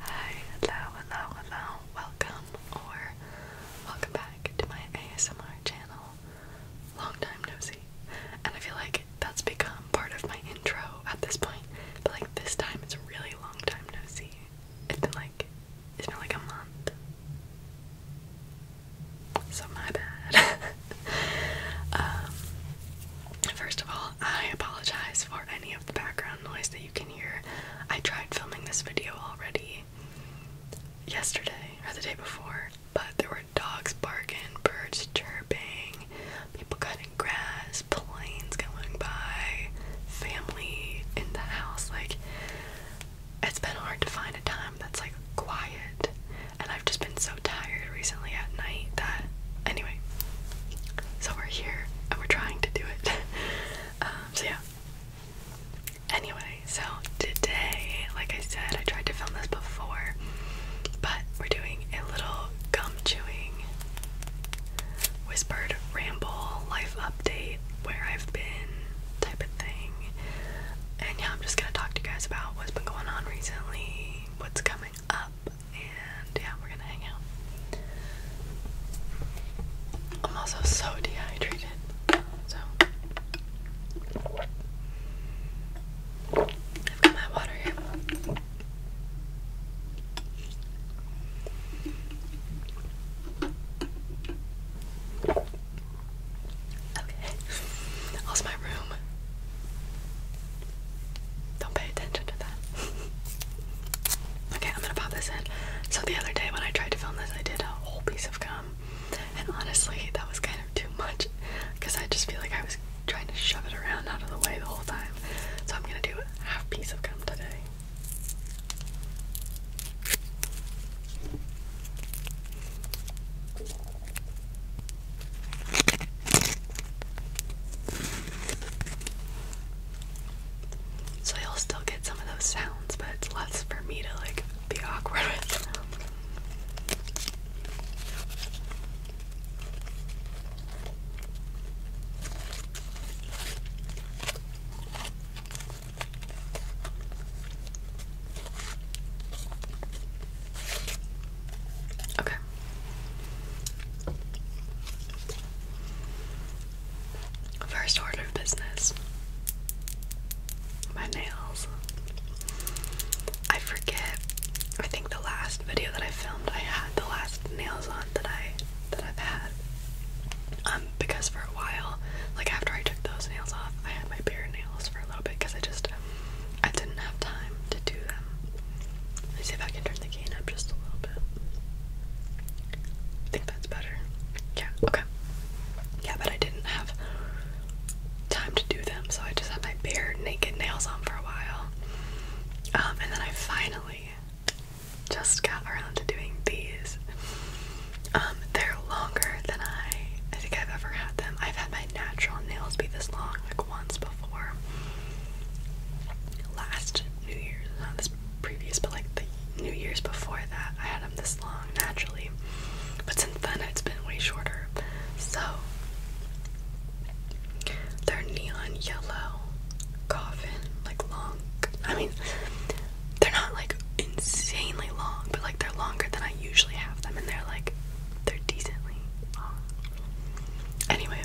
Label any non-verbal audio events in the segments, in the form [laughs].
Hi, hello, hello, hello, welcome or welcome back to my ASMR channel. Long time no And I feel like that's become part of my intro at this point. But like this time it's a really long time no It's been like it's been like a month. So my bad. [laughs] um first of all I apologize for any of the background noise that you can hear. I tried filming this video already yesterday or the day before, but there were dogs barking, birds chirping, people cutting grass, planes going by, family in the house. Like, it's been hard to find a time that's like quiet, and I've just been so tired recently at night that anyway so we're here and we're trying to do it [laughs] um, so yeah anyway so today like I said I tried to film this before but we're doing a little gum chewing whispered ramble life update where I've been type of thing and yeah I'm just gonna talk to you guys about what's been going on recently what's coming up and yeah, we're gonna hang out. I'm also so dehydrated, so I've got my water here. Okay, how's my room? Don't pay attention to that. [laughs] okay, I'm gonna pop this in. So the other day when I tried to film this, I did a whole piece of gum, and honestly, that was kind of too much because I just feel like I was trying to shove it around out of the way the whole time. So I'm gonna do a half piece of gum today. So you'll still get some of those sounds, but it's less for me to like be awkward with. Okay. First order of business my nails. I forget. I think the last video that I filmed, I had the last nails on that I that I've had. Um, because for a while, like after I took those nails off, I had my bare nails for a little bit because I just I didn't have time to do that. Let me see if I can turn the cane up just a little bit. I think that's better. Yeah, okay. Yeah, but I didn't have time to do them, so I just had my bare naked nails on for a while. Um, and then I finally just got around to doing these. Um, they're longer than I think I've ever had them. I've had my natural nails be this long like once before. Last New Year's, not this previous, but like the New Year's before that, I had them this long naturally. But since then, it's been way shorter. So, they're neon yellow coffin, like long. I mean, they're not like insanely long, but like they're longer than I usually have them, and they're like, they're decently long. Anyway,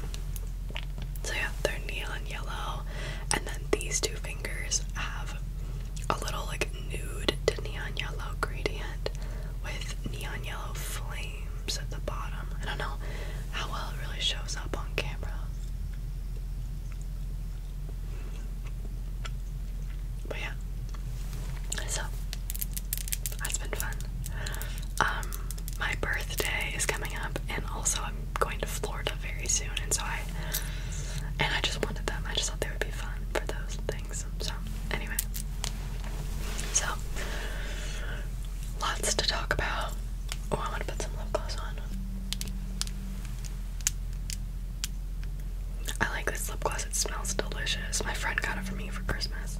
so yeah, they're neon yellow, and then these two fingers have a little like nude to neon yellow gradient with neon yellow flames at the bottom. I don't know how well it really shows up on camera. But yeah, so that's been fun um, my birthday is coming up, and also I'm going to Florida very soon, and so I and I just wanted them. I just thought they would be fun for those things. So anyway, so lots to talk about. Oh, I want to put some lip gloss on. I like this lip gloss. It smells delicious. My friend got it for me for Christmas.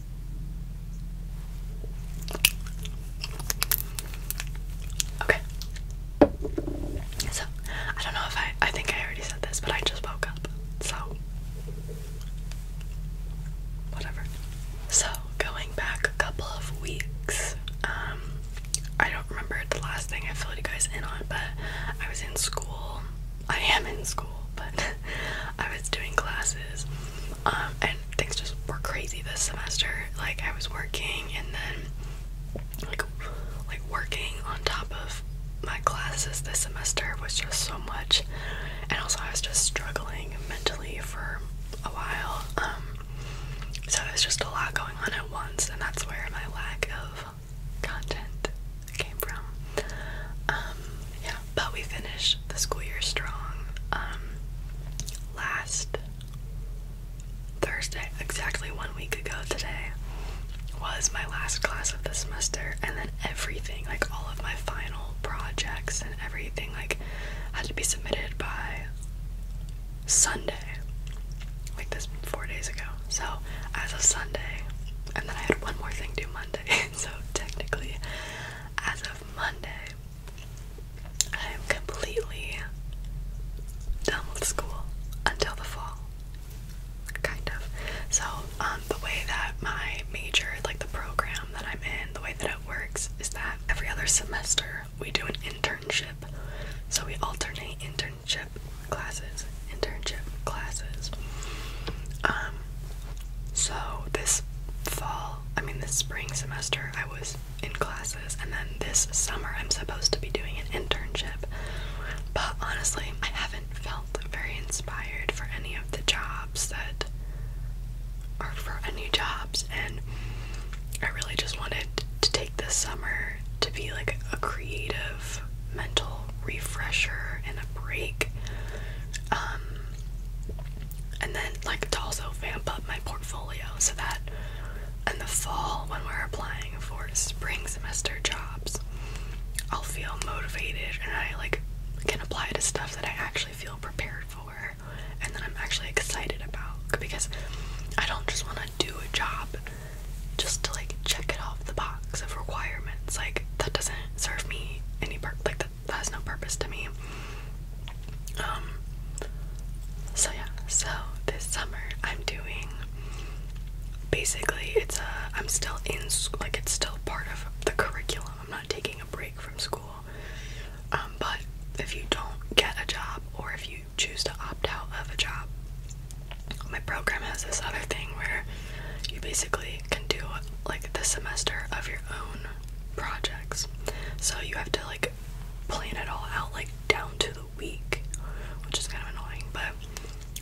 Okay. So, I don't know if I I think I already said this, but I just woke up. So, whatever. So, going back a couple of weeks, um I don't remember the last thing I filled you guys in on, but I was in school. I am in school, but I was doing classes, um, and things just were crazy this semester. Like I was working and then like like working on top of my classes this semester was just so much, and also I was just struggling mentally for a while. Um, so there's just a lot going on at once, and that's where my lack of content came from. Um, yeah, but we finished the school year strong. Um, last Thursday, exactly one week ago today, was my last class of the semester, and then everything, like all of my final projects and everything, like had to be submitted by Sunday, like this four days ago. So as of Sunday, and then I had one more thing to do Monday. [laughs] so technically, as of Monday, I am completely done with school until the fall. Kind of. So, um, the way that my major, like the program that I'm in, the way that it works is that every other semester we do an internship. So, we alternate internship classes, internship classes. Um, so, this fall I mean, this spring semester, I was in classes, and then this summer, I'm supposed to be doing an internship. But honestly, I haven't felt very inspired for any of the jobs that are for any jobs, and I really just wanted to take this summer to be like a creative mental refresher and a break. Um, and then like to also vamp up my portfolio so that in the fall when we're applying for spring semester jobs I'll feel motivated and I like can apply to stuff that I actually feel prepared for and that I'm actually excited about because I don't just want to do a job just to like check it off the box of requirements like that doesn't serve me any part like that that has no purpose to me. Um so yeah, so this summer I'm doing basically it's a I'm still in school like it's still part of the curriculum. I'm not taking a break from school. Um but if you don't get a job or if you choose to opt out of a job, my program has this other thing where you basically can do like the semester of your own projects. So you have to like plan it all out like down to the week, which is kind of annoying, but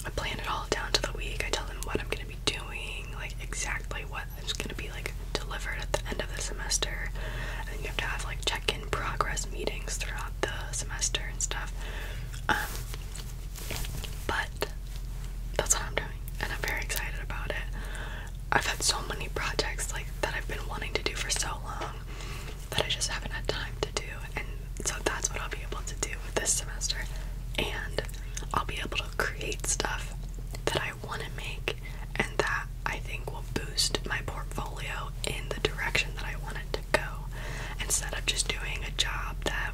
I plan it all down to the week. I tell them what I'm going to be doing, like exactly what is going to be like delivered at the end of the semester. And you have to have like check-in progress meetings throughout the semester and stuff. Um, but that's what I'm doing, and I'm very excited about it. I've had so many projects like that I've been wanting to do for so long that I just haven't had time to do and so that's what I'll be able to do this semester and I'll be able to create stuff that I want to make and that I think will boost my portfolio in the direction that I want it to go instead of just doing a job that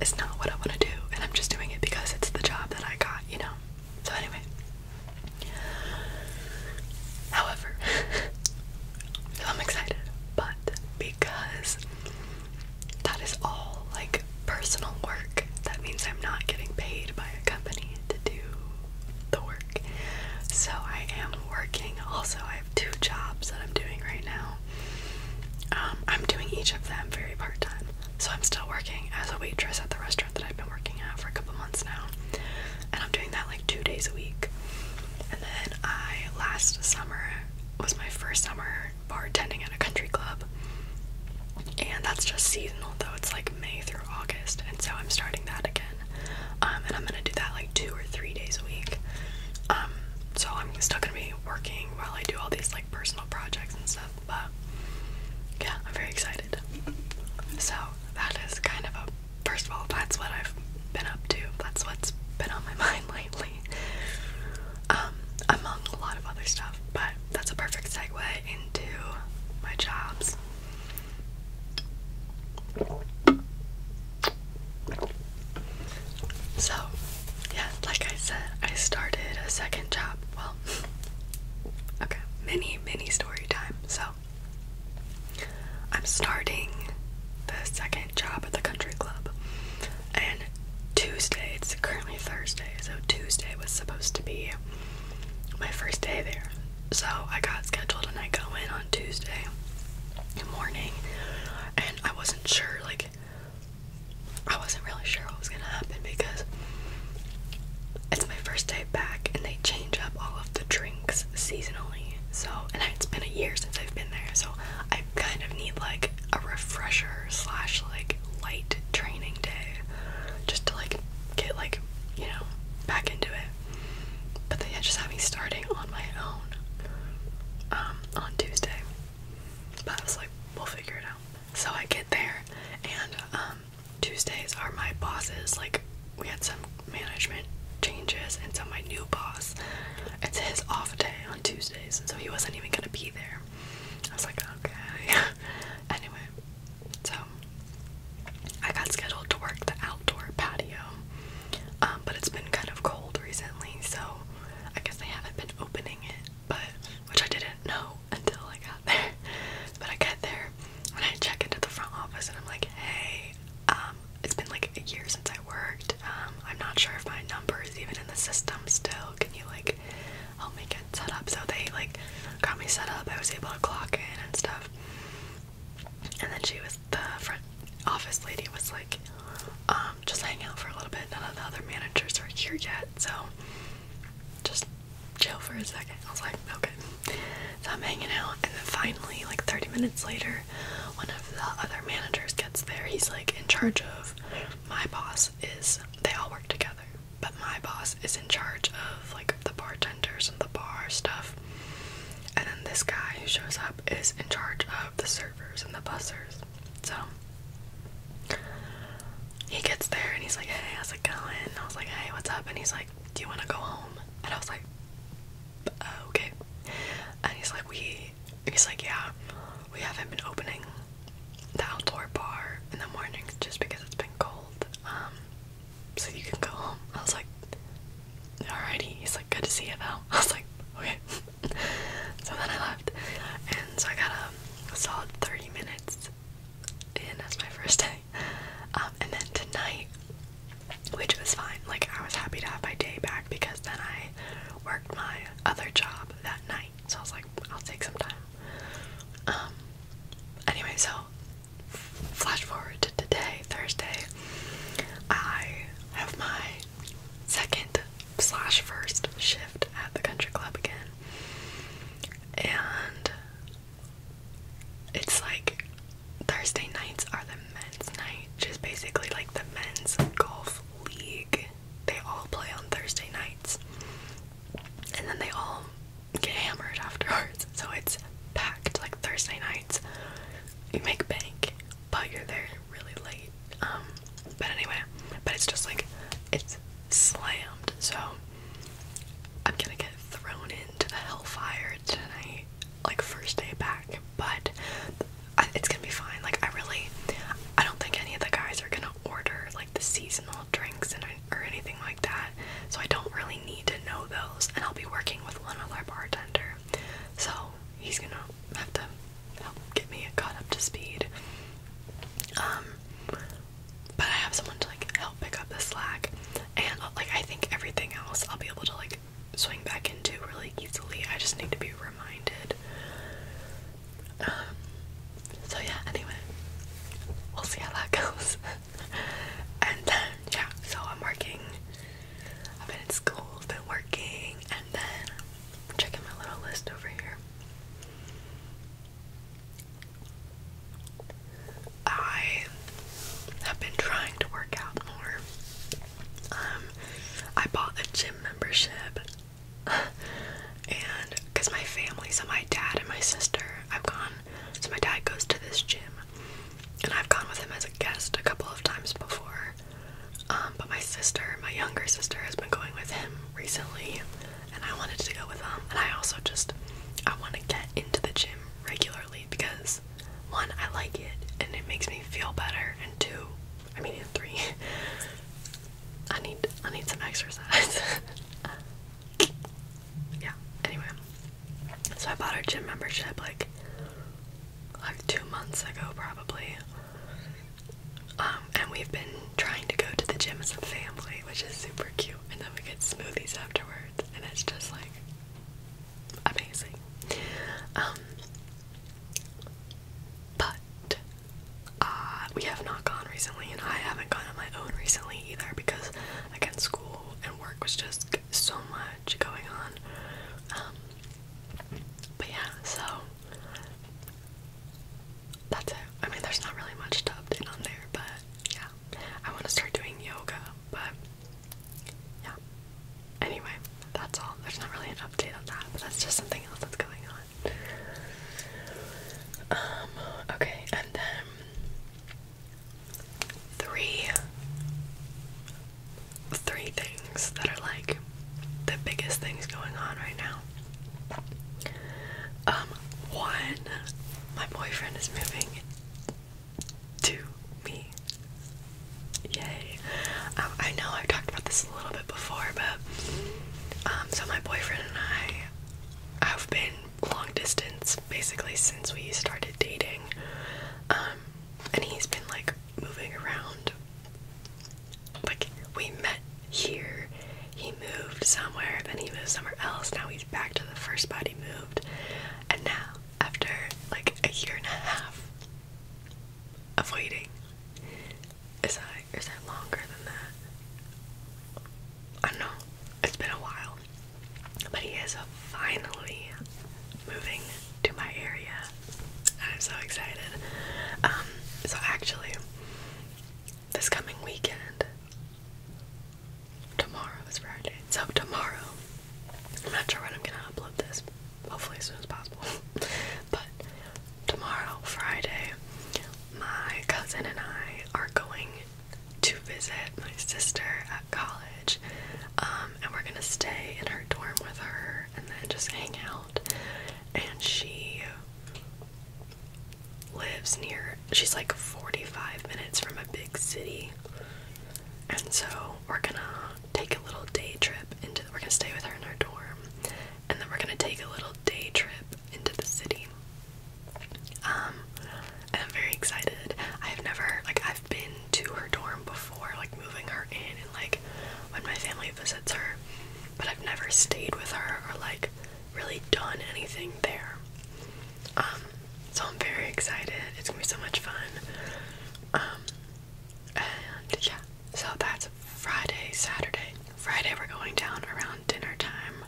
is not what I want to do and I'm just doing it because it's the job that I got, you know. So anyway. However, [laughs] I'm excited, but because that is all like personal work, that means I'm not getting paid by a company to do the work. So I am working. Also, I have two jobs that I'm doing right now. Um, I'm doing each of them very part time. So I'm still working as a waitress at the restaurant that I've been working at for a couple months now. And I'm doing that like two days a week. And then I last summer was my first summer bartending at a country club. And that's just seasonal though. It's like May through August. And so I'm starting that again. Um, and I'm gonna do that like two or three days a week. Um, so I'm still gonna be working while I do all these like personal projects and stuff but yeah, I'm very excited. So that is kind of a first of all, that's what I've been up to. That's what's been on my [laughs] mind lately. Um, among a lot of other stuff, but that's a perfect segue into my jobs. So, yeah, like I said, I started a second job. Well, [sighs] Okay, mini, mini story time. So, I'm starting the second job at the country club. And Tuesday, it's currently Thursday, so Tuesday was supposed to be my first day there. So, I got scheduled and I go in on Tuesday morning, and I wasn't sure, like, I wasn't really sure what was gonna happen because it's my first day back and they change up all of the drinks seasonally. So, and it's been a year since I've been there, so I kind of need like a refresher slash like light training day just to like get like you know back into it. But they just have me starting on my own um, on Tuesday. But I was like, we'll figure it out. So I get there, and um, Tuesdays are my bosses. Like, we had some management changes, and so my new boss, it's his off day on Tuesdays, so he wasn't even gonna be there. I was like, okay. [laughs] anyway, so I got scheduled to work the outdoor patio, um, but it's been kind of cold recently, so I guess they haven't been opening it but which I didn't know [laughs] until I got there. But I get there and I check into the front office and I'm like, hey, um, it's been like a year since I worked. Um, I'm not sure if my number is even in the system still. Can you like help me get set up? So they like got me set up. I was able to clock in and stuff. And then she was the front office lady was like, um, just hanging out for a little bit. None of the other managers are here yet, so just chill for a second. I was like, okay. So I'm hanging out, and then finally, like 30 minutes later, one of the other managers gets there. He's like in charge of my boss is they all work together, but my boss is in charge of like the bartenders and the bar stuff. And then this guy who shows up is in charge of the servers and the bussers. So he gets there and he's like, hey, how's it going? And I was like, hey, what's up? And he's like, do you want to go home? And I was like, uh, okay. And he's like, we, he's like, yeah, we haven't been opening the outdoor bar in the mornings just because it's been cold. Um, so you can go home. I was like, alrighty. He's like, good to see you though. [laughs] I was like, okay. [laughs] so then I left. And so I got a solid 30 minutes and that's my first day. Um, and then tonight, which was fine. Like I was happy to have my day back because then I worked my other job that night. So I was like, I'll take some time. Um. Anyway, so flash forward to today, Thursday. I have my second slash first shift at the country club again, and it's like Thursday nights are the men's night, just basically like the men's golf league. They all play on Thursday nights, and then they all get hammered afterwards. So it's packed like Thursday nights. You make bank, but you're there really late. Um, but anyway, but it's just like it's slammed. So I'm gonna get thrown into the hellfire tonight, like first day back, but it's gonna be fine. Like, I really, I don't think any of the guys are gonna order like the seasonal drinks or anything like that, so I don't really need to know those. And I'll be working with one other bartender, so he's gonna have to help get me caught up to speed. Um, but I have someone to like help pick up the slack, and uh, like I think everything else I'll be able to like swing back into really easily. I just need to be reminded. Um, so yeah. Anyway, we'll see how that [laughs] goes. and then yeah, so I'm working. I've been in school, I've been working, and then checking my little list over here. I have been trying to work out more. Um, I bought a gym membership, [laughs] and because my family, so my dad and my sister, I've gone. So my dad goes to this gym, and I've gone with him as a guest a couple of times before. Um, but my sister, my younger sister, has been going with him recently and I wanted to go with them. And I also just I want to get into the gym regularly because one, I like it and it makes me feel better, and two, I mean, three, [laughs] I need I need some exercise. [laughs] yeah. Anyway, so I bought our gym membership like like two months ago, probably. Um, and we've been trying to go to the gym as a family, which is super cute. And then we get smoothies afterwards, and it's just like amazing. Um, but uh, we have not gone recently, and I haven't gone on my own recently either because, again, school and work was just so much going on. Um, but yeah, so that's it. I mean, there's not really much to update on there, but yeah. I want to start doing yoga, but yeah. Anyway, that's all. There's not really an update on that, but that's just something else that's going on. Um, okay, and then three three things that are like the biggest things going on right now. Um, one my boyfriend is moving to me. Yay. Um, I know I've talked about this a little bit before, but um, so my boyfriend and I have been long distance basically since we started dating. Um, and he's been like moving around. Like, we met here he moved somewhere, then he moved somewhere else, now he's back to the first body moved. And now, after like a year and a half of waiting, is that is that longer than that? I don't know. It's been a while. But he is finally moving to my area. I'm so excited. Um, so actually, this coming weekend, tomorrow is Friday. So tomorrow, I'm not sure when I'm gonna upload this. Hopefully as soon as possible. [laughs] but tomorrow, Friday, my cousin and I are going to visit my sister at college. Um, and we're gonna stay in her dorm with her and then just hang out. And she lives near, she's like 45 minutes from a big city. And so we're gonna take a little day trip into, we're gonna stay with her in her dorm. And then we're gonna take a little day trip into the city. Um, and I'm very excited. I have never, like, I've been to her dorm before, like, moving her in and, like, when my family visits her, but I've never stayed with her or, like, really done anything there. Um, so I'm very excited. It's gonna be so much fun. Um, and yeah, so that's Friday, Saturday. Friday we're going down around dinner time,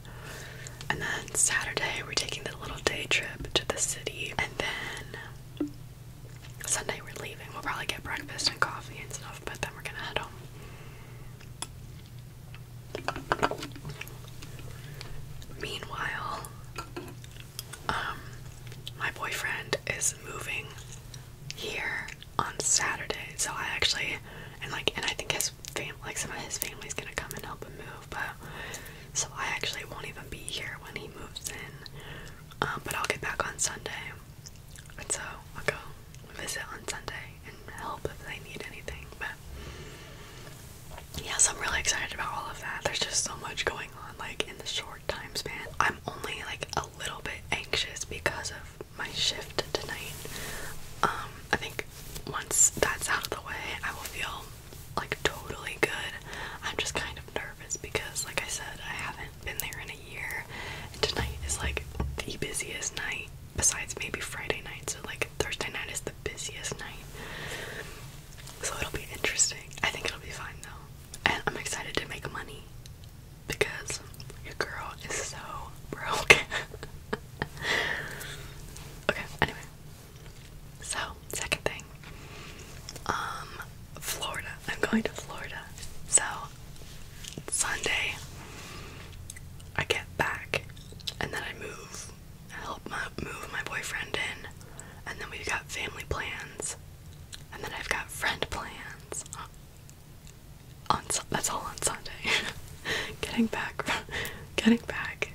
and then Saturday we're taking the little day trip to the city, and then Sunday we're leaving. We'll probably get breakfast and coffee and stuff, but then we're gonna head home. Meanwhile, um, my boyfriend is moving here on Saturday, so I actually and like and I think his fam like some of his family's gonna come and help him move, but so I actually won't even be here when he moves in. Um, but I'll get back on Sunday, and so I'll go visit on Sunday and help if they need anything. But yes, I'm really excited about all of that. There's just so much going on, like in the short time span. I'm only like a little bit anxious because of my shift tonight. Um, I think once that's out of the way, I will feel like totally good. I'm just kind of nervous because, like I said, I haven't been there in a year, and tonight is like the busiest night besides maybe Friday night. So, like, Thursday night is the busiest night. So it'll be interesting. I think it'll be fine though. And I'm excited to make money because your girl is so broke. [laughs] okay, anyway. So, second thing. Um Florida. I'm going to Florida. So Sunday I get back and then I move help move my boyfriend in, and then we've got family plans, and then I've got friend plans. Uh, on, that's all on Sunday. [laughs] getting back, [laughs] getting back,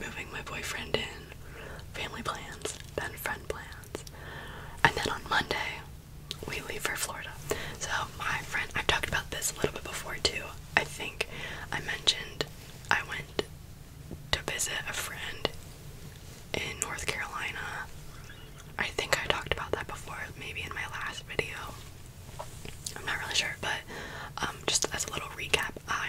moving my boyfriend in, family plans, then friend plans, and then on Monday we leave for Florida. So my friend, I've talked about this a little bit before too. I think I mentioned I went to visit a friend in North Carolina. I think I talked about that before, maybe in my last video. I'm not really sure, but um, just as a little recap, I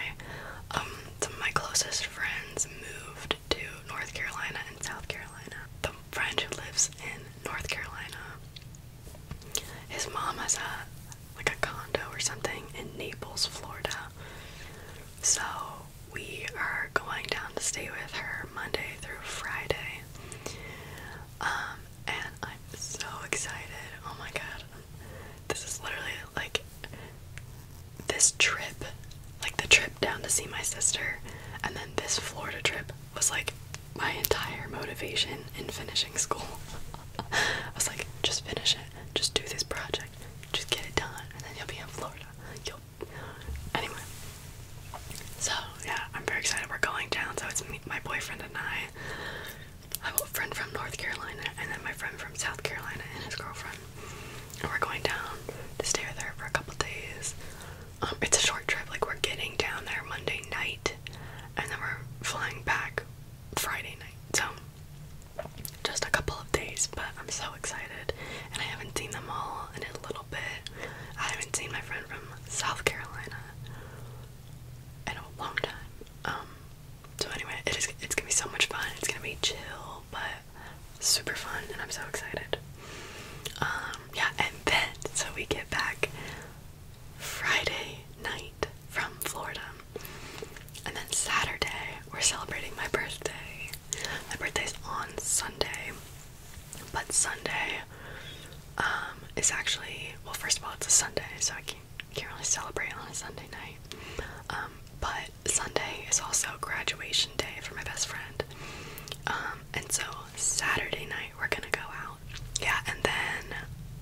um, some my closest friends moved to North Carolina and South Carolina. The friend who lives in North Carolina, his mom has a like a condo or something in Naples, Florida. So we are going down to stay with her Monday through Friday. Um, and I'm so excited. Oh my god. This is literally like this trip, like the trip down to see my sister, and then this Florida trip was like my entire motivation in finishing school. [laughs] [laughs] I was like, just finish it. Just do this project. Just get it done, and then you'll be in Florida. You'll [sighs] anyway. So yeah, I'm very excited. We're going down. So it's me, my boyfriend, and I. I have a friend from North Carolina, and then my friend from South Carolina and his girlfriend. And we're going down to stay with her for a couple days. Um, it's a short trip. Like we're getting down there Monday night, and then we're flying back Friday night. So just a couple of days, but I'm so excited. And I haven't seen them all in a little bit. I haven't seen my friend from South Carolina in a long time. Um, so anyway, it is, it's gonna be so much fun. It's gonna be chill, but super fun, and I'm so excited. Um, yeah, and then, so we get back Friday night from Florida. And then Saturday, we're celebrating my birthday. My birthday's on Sunday, but Sunday um, is actually, well, first of all, it's a Sunday, so I can't, really celebrate on a Sunday night. Um, but Sunday is also graduation day for my best friend. Um, and so Saturday night, we're gonna go out. Yeah, and then,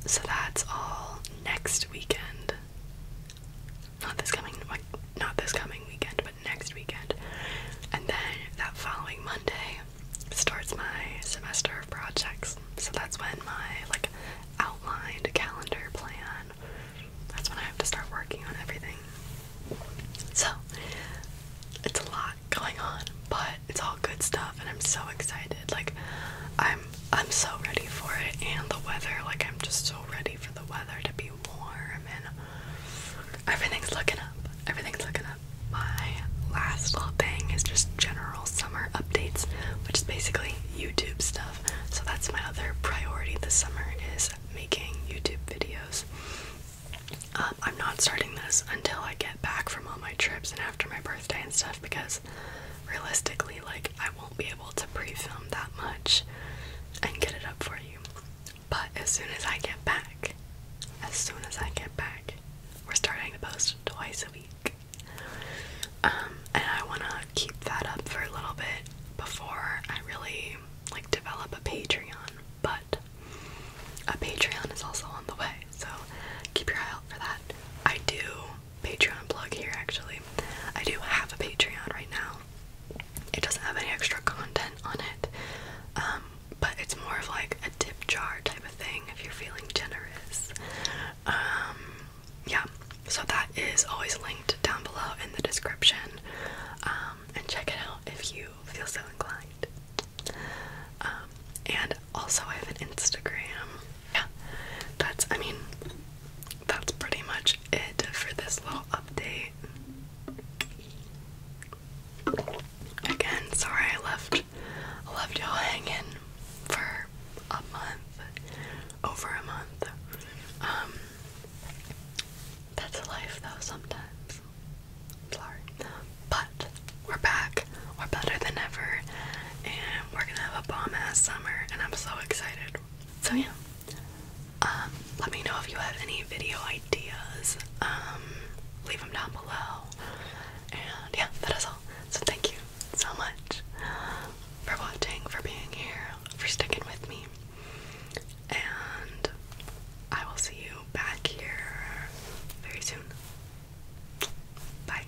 so that's all next weekend not this coming not this coming weekend, but next weekend. And then that following Monday starts my semester of projects. So that's when my like outlined calendar plan that's when I have to start working on everything. So it's a lot going on, but it's all good stuff and I'm so excited. Like I'm I'm so ready for it and the weather, like I'm just so ready for the weather to be warm and everything's looking up. Everything's looking up. My last little thing is just general summer updates, which is basically YouTube stuff. So that's my other priority this summer is making YouTube videos. Um, I'm not starting this until I get back from all my trips and after my birthday and stuff because realistically, like, I won't be able to pre film that much and get it up for you. But as soon as I get back, as soon as I get back, we're starting to post twice a week. Um, and I want to keep that up for a little bit before I really like develop a Patreon, but a Patreon is also on the way, so keep your eye out for that. I do Patreon plug here actually. I do have a Patreon right now. It doesn't have any extra content on it. Um, but it's more of like a tip jar type of thing if you're feeling generous. Um, yeah, so that is always linked down below in the description. Um, and check it out if you feel so inclined. Um, and also, I have an Instagram yeah, that's, I mean, that's pretty much it for this little update. Again, sorry I left, left y'all hanging for a month, over a month. Um, that's life though sometimes. sorry. But we're back. We're better than ever. And we're gonna have a bomb ass summer. And I'm so excited so yeah. Um, let me know if you have any video ideas. Um, leave them down below. And yeah, that is all. So thank you so much for watching, for being here, for sticking with me. And I will see you back here very soon. Bye.